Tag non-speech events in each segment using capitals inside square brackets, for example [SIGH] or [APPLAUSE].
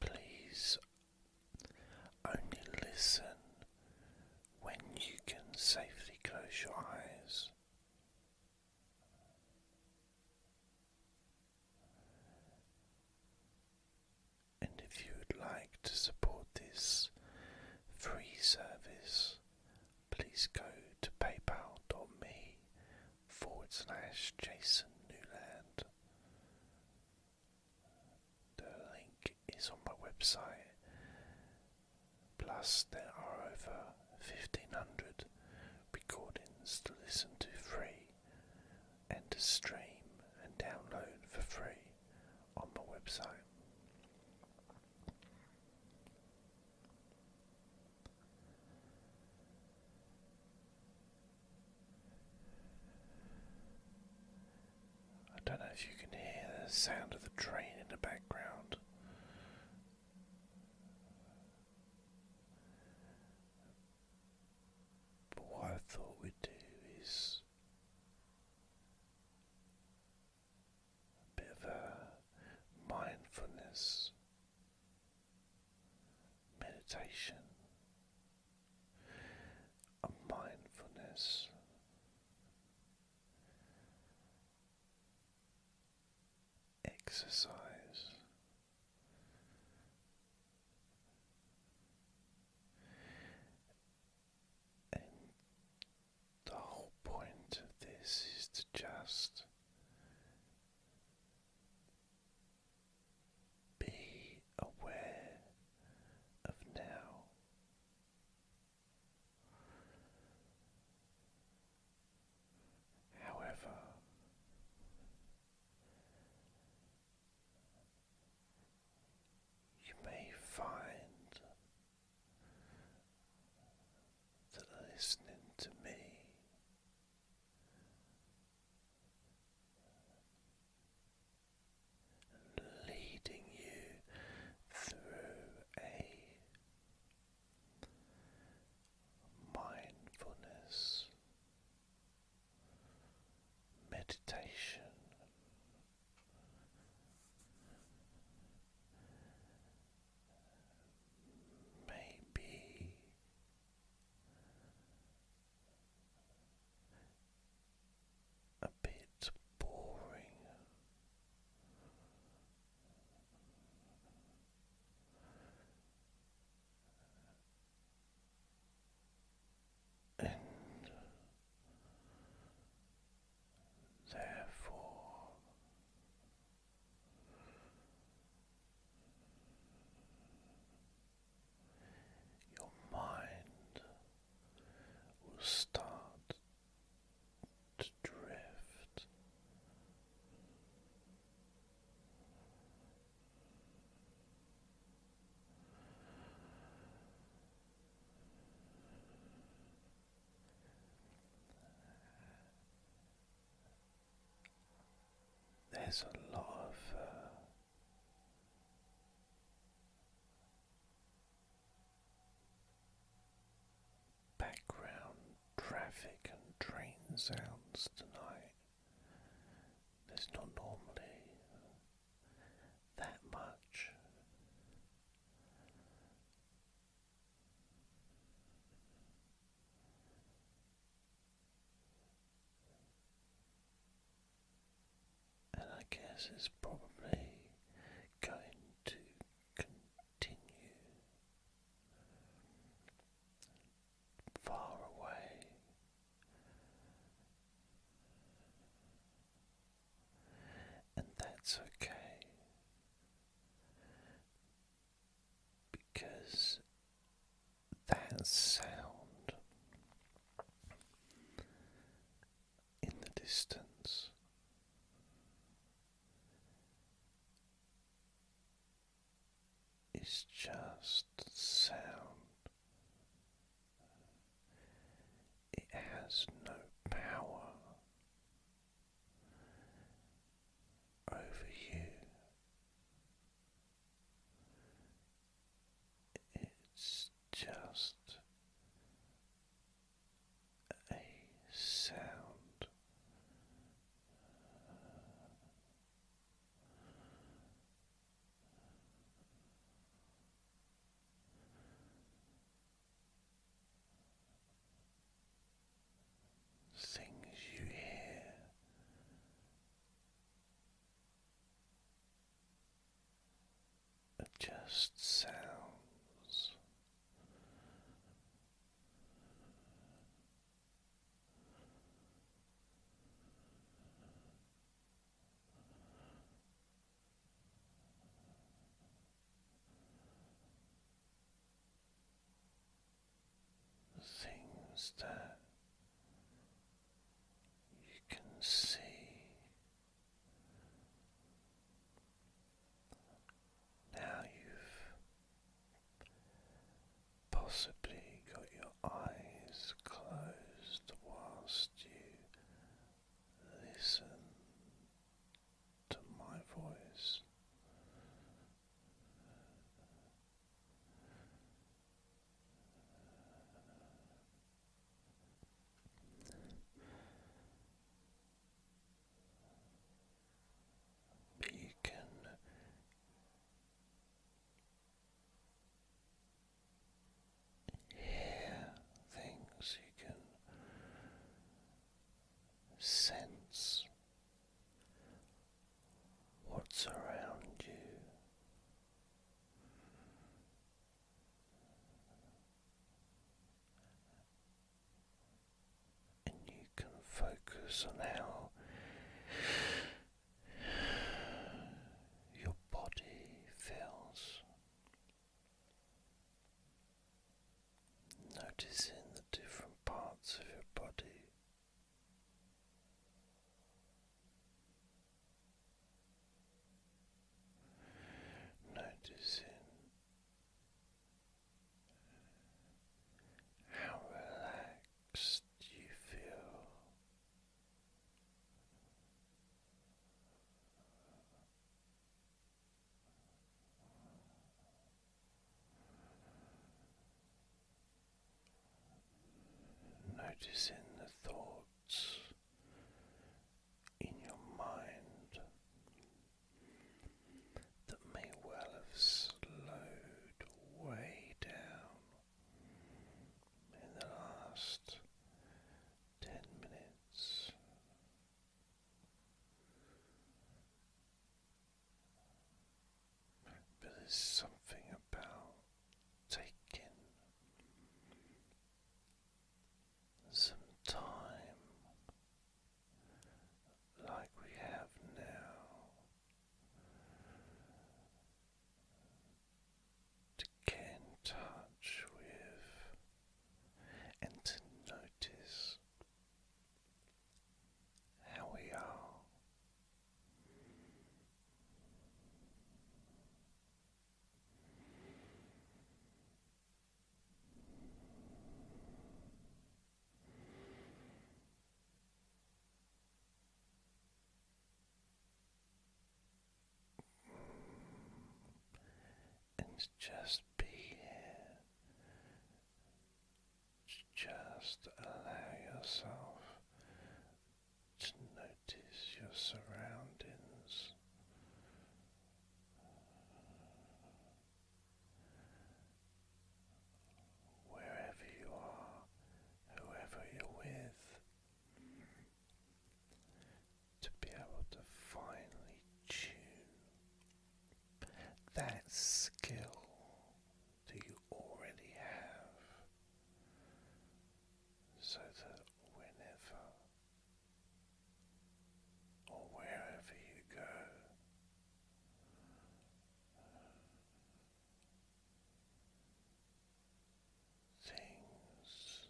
Please only listen when you can safely close your eyes. And if you would like to support this free service, please go to paypal.me jasonnewland the link is on my website. Plus, there are over 1500 recordings to listen to free and to stream and download for free on my website. I don't know if you can hear the sound of the train in the background. But what I thought we'd do is a bit of a mindfulness meditation a mindfulness. Exercise and the whole point of this is to just be aware of now. However, you may find that listening to me leading you through a mindfulness meditation. Maybe a bit boring. And therefore, your mind will start to drift. There's a lot of uh, background traffic and train sounds tonight. There's not normally that much. And I guess it's probably going to continue far away. And that's okay because that sound in the distance. It's just sound. It has no power over you. It's just a sound. Things you hear are just sounds. Things that you can see now you've possibly got your eyes closed whilst you listen to my voice. Beacon uh, hear things you can sense what's around you and you can focus on how your body feels, noticing the different parts of your body. Noticing how relaxed you feel. Noticing the thoughts in your mind that may well have slowed way down in the last ten minutes but there's something about taking some time like we have now to get in touch with and to notice how we are and just be here. Just allow yourself to notice your surroundings. Wherever you are, whoever you're with, to be able to finally tune that skill that you already have so that whenever or wherever you go, things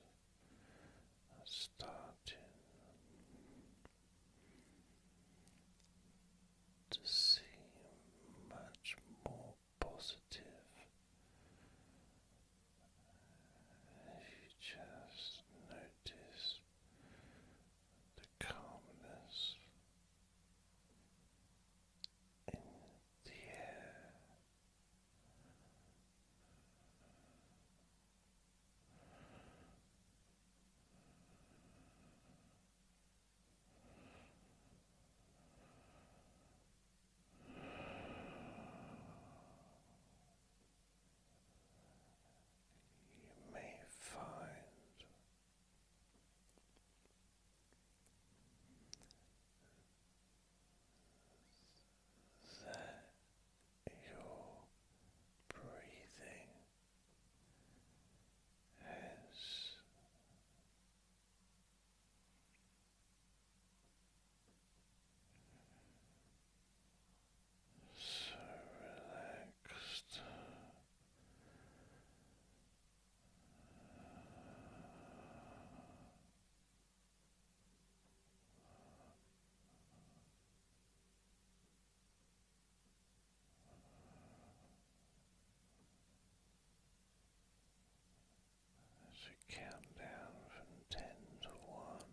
are starting to seem much more positive. you just notice the calmness in the air. You may find that your breathing has so relaxed. Relaxed as we count down from ten to one,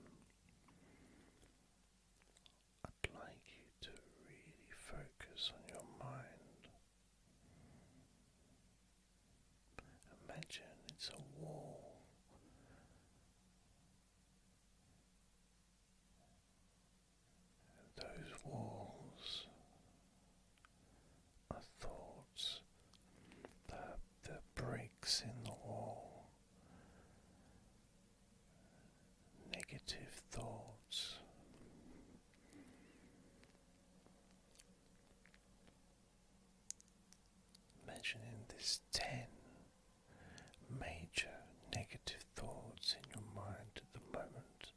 I'd like you to really focus on your mind. Imagine it's a wall. those walls thoughts, the, the bricks in the wall, negative thoughts. Imagining this ten major negative thoughts in your mind at the moment,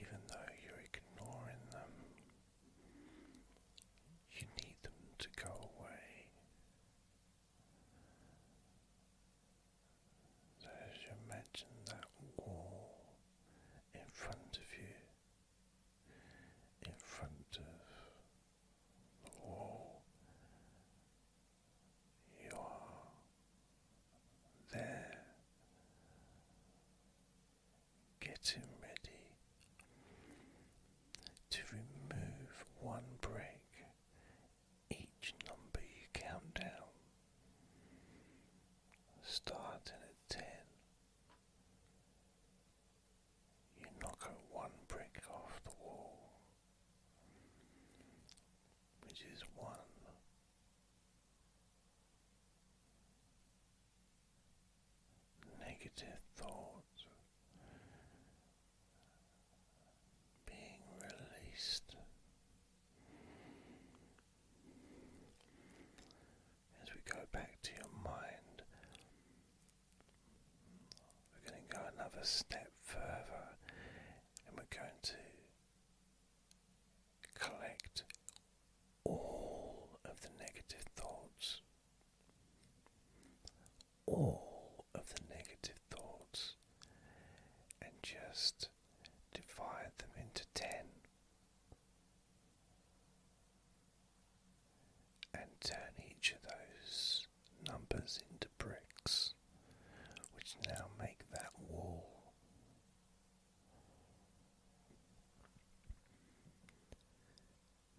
even though you're ignoring them, you need them to go away. So as you imagine that wall in front of you, in front of the wall, you are there, getting ready to remove one break each number you count down, starting at ten. You knock out one brick off the wall, which is one negative thoughts being released as we go back to your mind. We're going to go another step further and we're going to Collect all of the negative thoughts. All of the negative thoughts and just divide them into ten and turn each of those numbers into bricks, which now make that wall.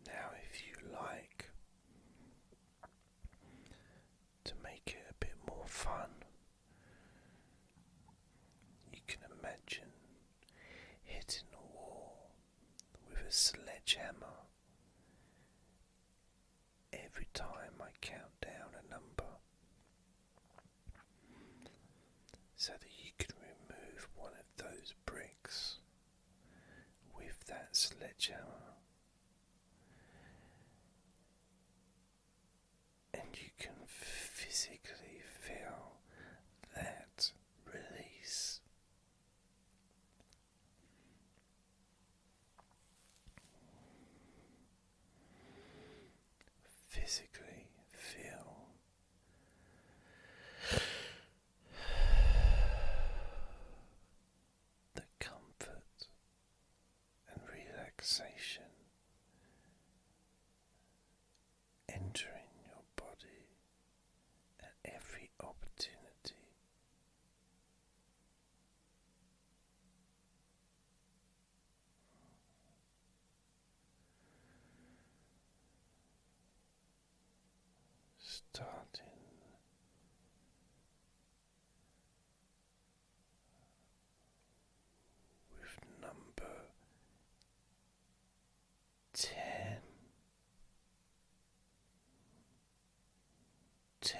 Now, if you like to make it a bit more fun, you can imagine hitting a wall with a sledgehammer every time I count down a number so that you can remove one of those bricks with that sledgehammer. And you can physically feel that release physically feel [SIGHS] the comfort and relaxation entering your body at every opportunity starting with number ten, ten.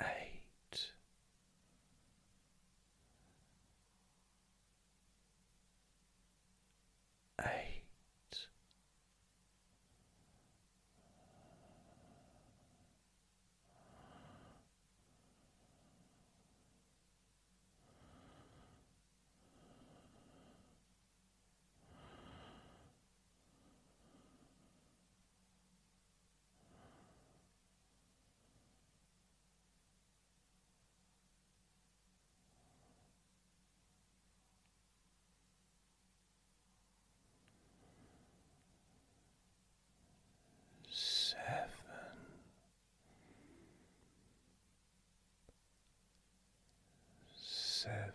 eight. Eight, Seven. Seven.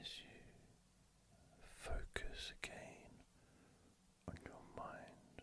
As you focus again on your mind,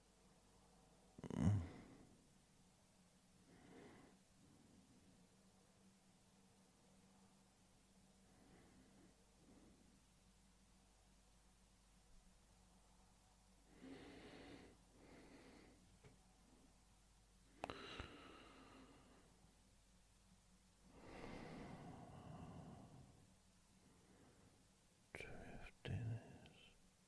Drifting is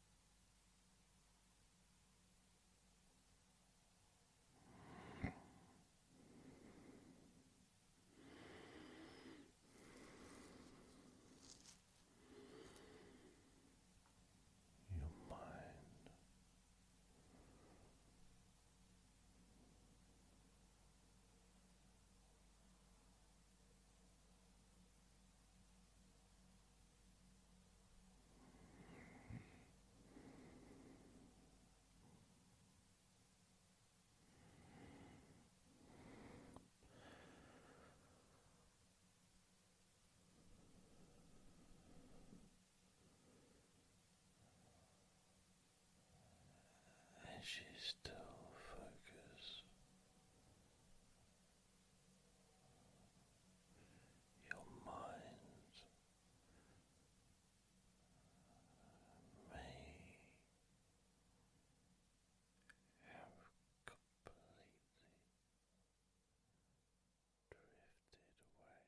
Your mind and she's still focused your mind may have completely drifted away.